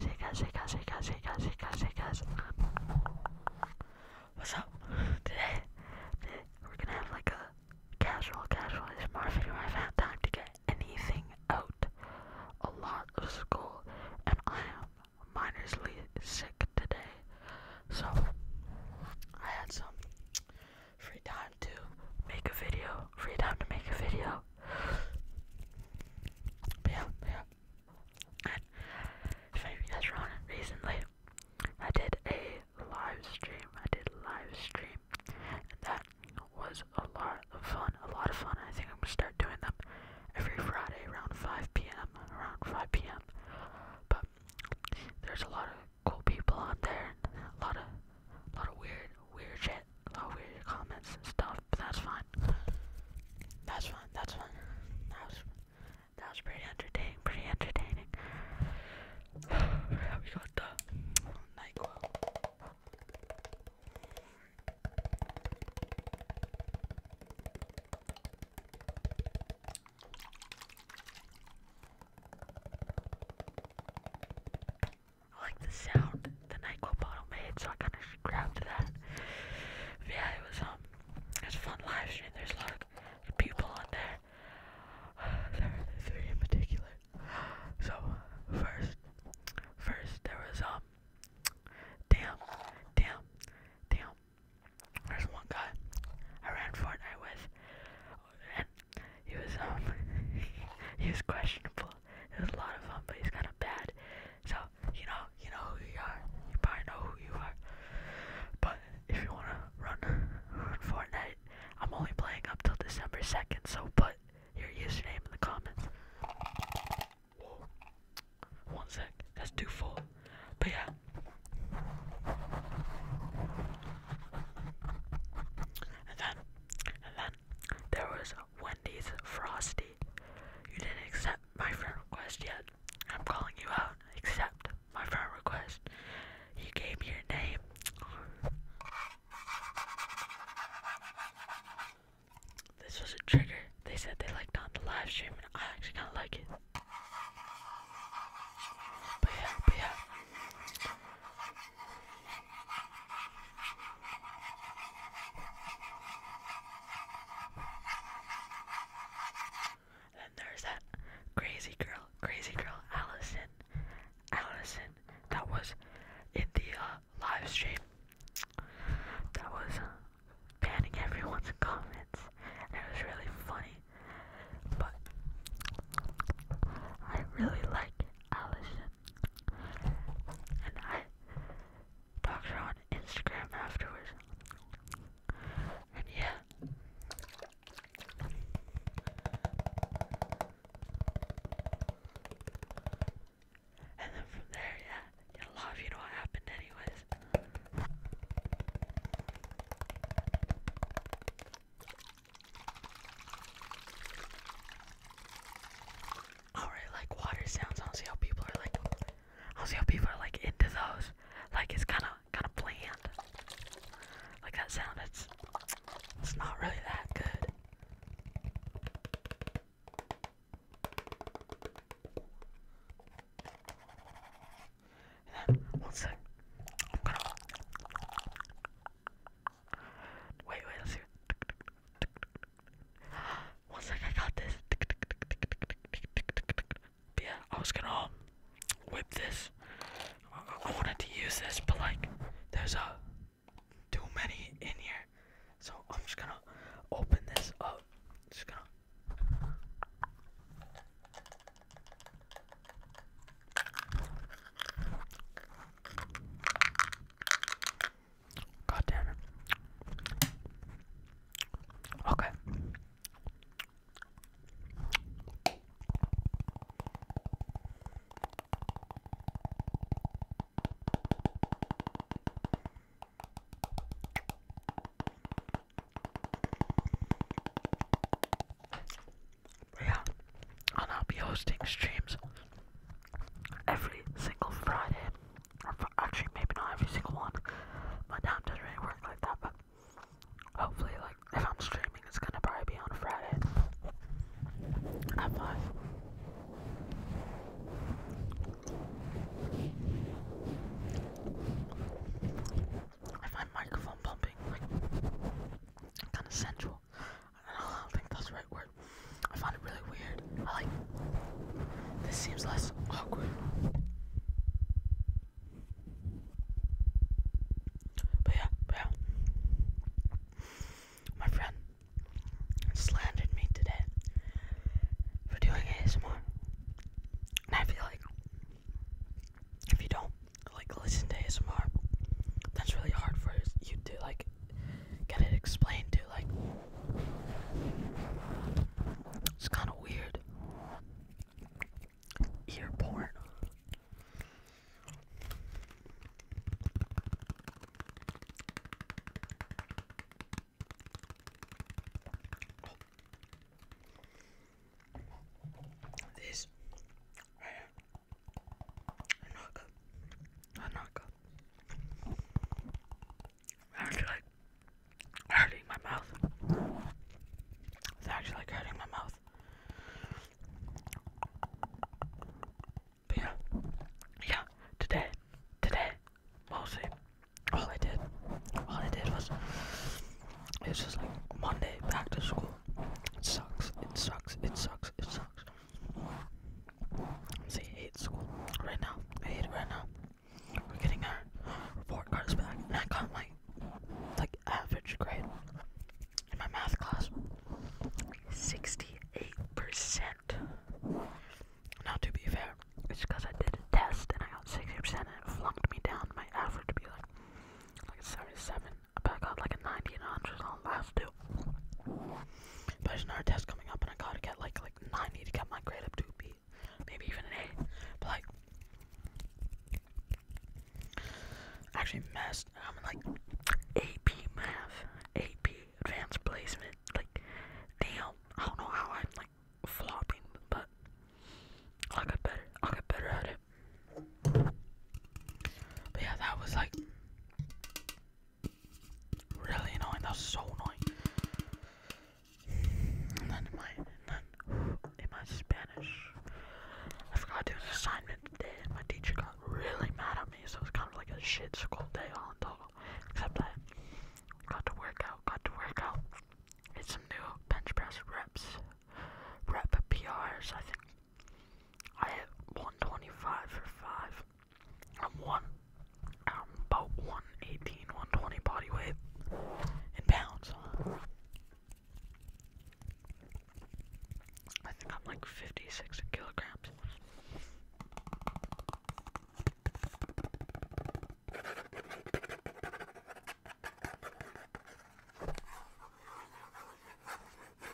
Shakers, shakers, shakers, shakers, shakers, shakers. What's up? Today, today we're gonna have like a casual, casual is Marvin where I've had time to get anything out. A lot of school, and I am minorly sick today. So, I had some free time to make a video, free time to make a video. But yeah, yeah, and if maybe that's wrong, recently I did a live stream. I did a live stream, and that was a lot of fun. A lot of fun. I think I'm gonna start doing them every Friday around 5 p.m. Around 5 p.m. But there's a lot of cool people on there. A lot of, a lot of weird, weird shit bit oh, over comments and stuff, but that's fine. That's fine, that's fine. That was, that was pretty entertaining, pretty entertaining. we got the NyQuil. I like the sound the NyQuil bottle made, so I kind of grabbed that. yeah, it was um, it fun live stream. There's a lot of people on there. there were three in particular. So first, first there was um, damn, damn, damn. There's one guy I ran Fortnite with, and he was um, he was questionable. It was a lot of fun, but he's kind of bad. So you know, you know who you are. You probably know who you are. But if you wanna run, run Fortnite, I'm only playing up till December 2nd, so put your username in the comments. One sec, that's too full. But yeah. And then, and then, there was Wendy's Frosty. You didn't accept my friend request yet. I'm calling you out. Accept my friend request. You gave me your name. This was a trigger. They said they liked on the live stream, and I actually kind of like it. But yeah, but yeah. And there's that crazy girl, crazy girl, Allison. Allison, that was in the uh, live stream. That was uh, banning everyone's comments, and it was really funny. But I really like Allison. And I talked her on Instagram afterwards. And yeah. And then from there, yeah, you love, you know what happened, anyways. Alright, like water sounds. I don't see how people are like. I don't see how people are like into those. Like it's kind of kind of bland. Like that sound. It's it's not really that good. Wait, wait, let's see. Once like I got this. yeah, I was gonna whip this. I wanted to use this, but like, there's a uh, too many in here, so I'm just gonna open this up. Just gonna. God damn it. Okay. yeah, I'll be hosting streams every single Friday. actually, maybe not every single one. My time doesn't really work like that, but hopefully, like, if I'm streaming, it's gonna probably be on Friday I find microphone pumping kind of sensual. I don't, think that's the right word. I find it really weird. like. This seems less awkward. But yeah, yeah. My friend slandered me today for doing ASMR. And I feel like if you don't like listen to ASMR, that's really hard for you to like get it explained to. Like, it's kind of weird. Ear porn. This, Oh it's Actually, like hurting my mouth. It's actually like hurting my mouth. yeah, yeah. Today, today, mostly, all I did, all I did was it's just like Monday back to school. It sucks. It sucks. It sucks. It sucks. See, I hate school right now. I hate it right now. We're getting our report cards back, and I got my like average grade in my math class. Sixty-eight percent. Now, to be fair, it's because I did a test and I got sixty percent, and it flunked me down. My average would be like like a seventy-seven. But I got like a ninety and a hundred on last two. But there's another test coming up, and I gotta get like like 90 to get my grade up to a B, maybe even an A. But like, actually messed. I'm like AP math, AP advanced placement. Like, damn, I don't know how I'm like flopping, but I'll get better. I'll get better at it. But yeah, that was like Really annoying, that's so annoying. And then my, and then in my Spanish, I forgot to do an assignment today and my teacher got really mad at me, so it was kind of like a shit school day all in total. Except I got to work out, got to work out, did some new bench press reps, rep PRs I think. I hit 125 for 5. I'm one. I'm about 118, 120 body weight in pounds. I think I'm like 56 kilograms.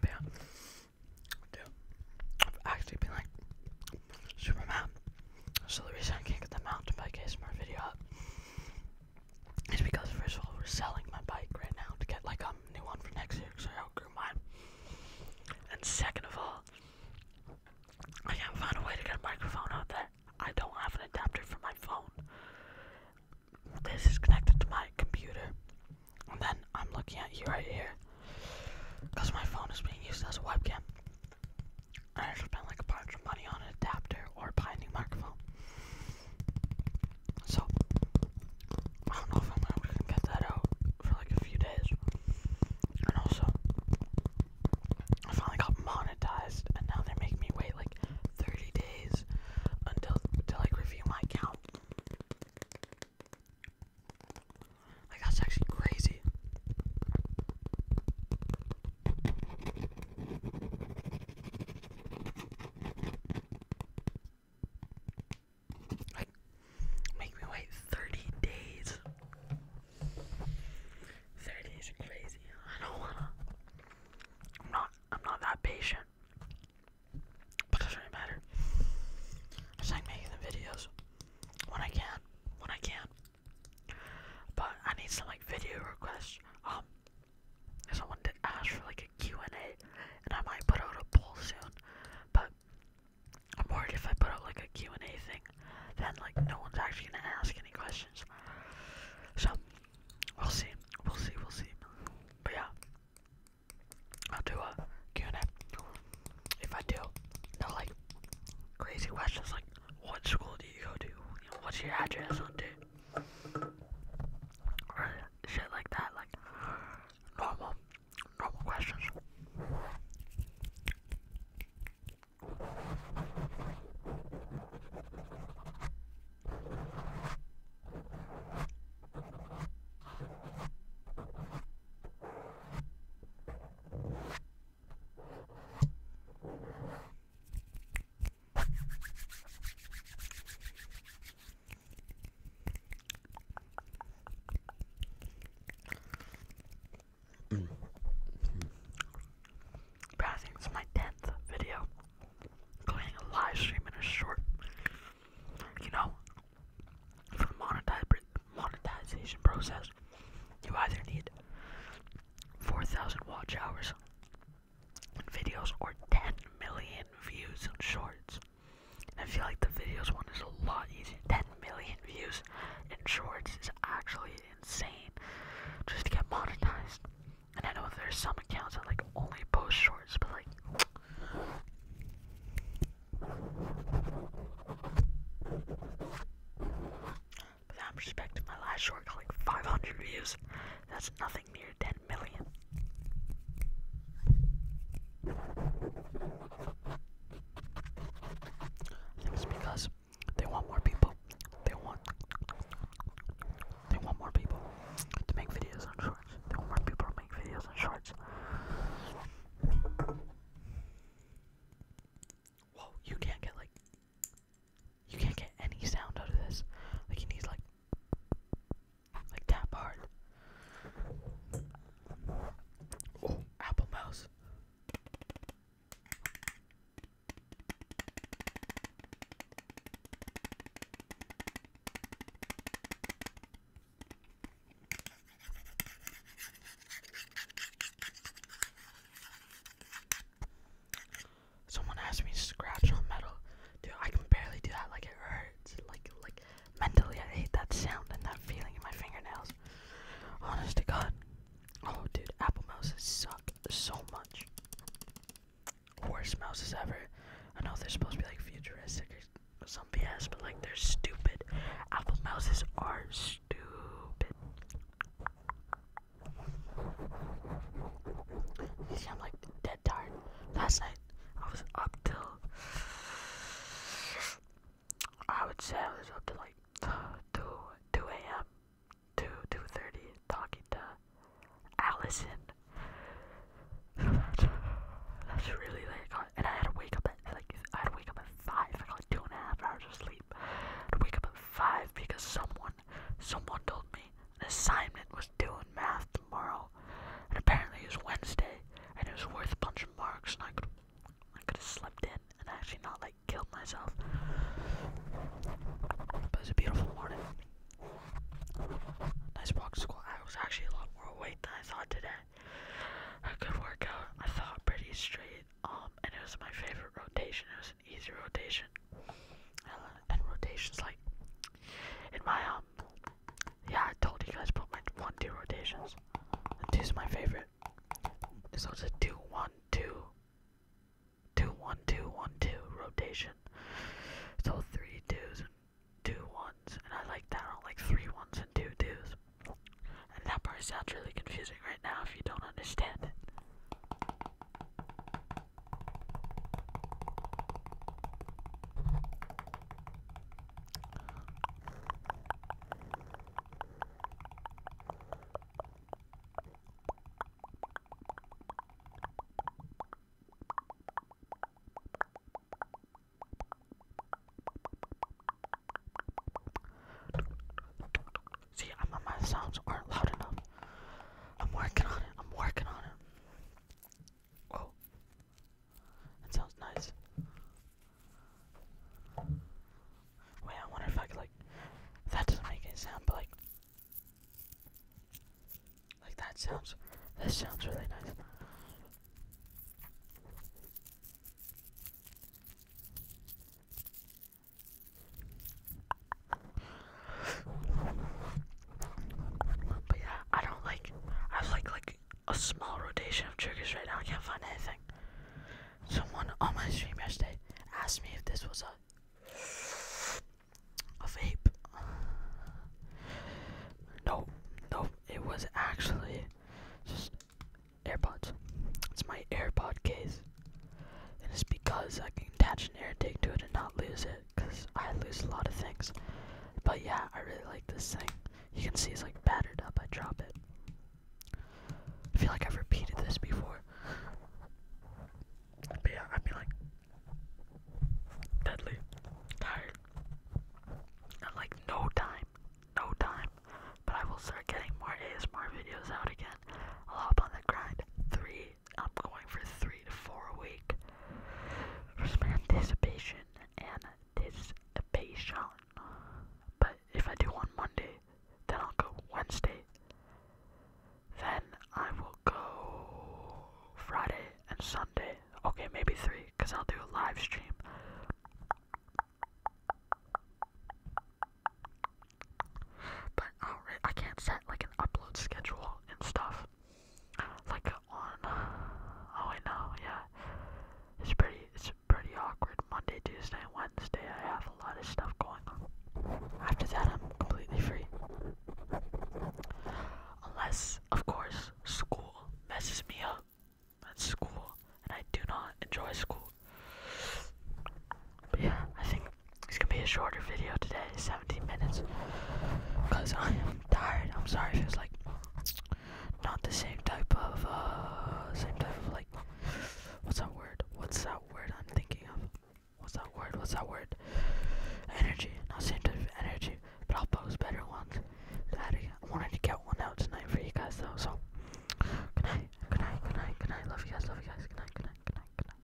But yeah, I've actually been like super mad. So the reason I can't get them out the mountain bike ASMR video is because first of all we're selling my bike right now to get like a new one for next year because I outgrew mine. And second of all, I can't find a way to get a microphone out there. I don't have an adapter for my phone. This is connected to my computer. And then I'm looking at you right here. Because my phone is being used as a webcam. I have to spend like a bunch of money on an adapter or buy a new microphone. So, I don't know if I'm gonna get that out for like a few days. And also, I finally got monetized, and now they are making me wait like 30 days until to like review my account. Like that's actually crazy. Like, make me wait 30 days. 30 days are crazy. I don't wanna. I'm not, I'm not that patient. But it doesn't matter. I like making the videos when I can, when I can. But I need some like video requests. Um, I someone to ask for like a Q&A, and I might put out a poll soon, but I'm worried if I put out like a Q&A thing, then like no one's actually gonna ask any questions, so we'll see, we'll see, we'll see, but yeah, I'll do a Q&A, if I do, no like crazy questions like what school do you go to, what's your address What day, shit like that, like normal, normal questions. Passing is my 10th video, including a live stream and a short. You know, for monetization process, you either need 4,000 watch hours videos or 10 million views on shorts. I feel like the videos one is a lot easier. 10 million views in shorts is actually insane just to get monetized. And I know there's some accounts that like only post shorts, but like but that perspective, my last short got like 500 views. That's nothing near 10 million. It because they want more people. They want they want more people to make videos on shorts. They want more people to make videos on shorts. Whoa, you can't get like you can't get any sound out of this. Like, you need, like, like that part. Oh, Apple Mouse. Someone asked me to scratch on metal. Dude, I can barely do that. Like it hurts. Like like mentally, I hate that sound and that feeling in my fingernails. Honest to God. Oh, dude, apple mice suck so much. Worst mouses ever. I know they're supposed to be like futuristic or some BS, but like they're stupid. Apple mice are stupid. They sound like dead tired. Last night I was up till I would say I was up till like two two a.m. two two thirty talking to Allison. That's really late, and I had to wake up at like I had to wake up at five. I got like two and a half hours of sleep. I had wake up at five because someone Someone told me an assignment was due in math tomorrow, and apparently it was Wednesday, and it was worth a bunch of marks, and I could, I could have slept in and actually not like killed myself. But it was a beautiful morning. Nice walk to school. I was actually a lot more awake than I thought today. A good workout. I thought pretty straight. Um, and it was my favorite rotation. It was easy rotation. And rotations like in my um yeah, I told you guys about my one two rotations. The two's my favorite. So it's a two one two two one two one two rotation. So three twos and two ones and I like that I don't like three ones and two twos. And that part sounds really confusing right now if you don't understand it. See, i my sounds aren't loud enough. I'm working on it. I'm working on it. Oh, that sounds nice. Wait, I wonder if I could like. That doesn't make any sound, but like, like that sounds. This sounds really nice. But yeah, I don't like. I like like a small rotation of triggers right now. I can't find anything. Someone on my stream yesterday asked me if this was a a vape. No, no, it was actually just AirPods. It's my AirPod case, and it's because I can attach an air tag to it and not lose it because I lose a lot of things. But yeah, I really like this thing. You can see it's like battered up. I drop it. I feel like I've repeated this before. But yeah, I'd be deadly tired. And like no time, no time. But I will start getting more ASMR videos out again. I'll hop on the grind. Three I'm going for three to four a week for some anticipation and anticipation. But if I do on Monday, then I'll go Wednesday. Then I will go Friday and Sunday. Okay, maybe three, because I'll do a live stream. But uh, I can't set like an upload schedule and stuff. Like on oh I know, yeah. It's pretty it's pretty awkward. Monday, Tuesday, Wednesday I have a lot of stuff going on. After that I'm completely free. Unless, of course, school messes me up. That's school and I do not enjoy school yeah, I think it's gonna be a shorter video today, 17 minutes. Cause I am tired. I'm sorry if it's like not the same type of uh same type of like what's that word? What's that word I'm thinking of? What's that word? What's that word? Energy. Not same type of energy. But I'll post better ones. Daddy, I wanted to get one out tonight for you guys though, so good night, good night, good night, good night, love you guys, love you guys, good night, good night, good night, good night.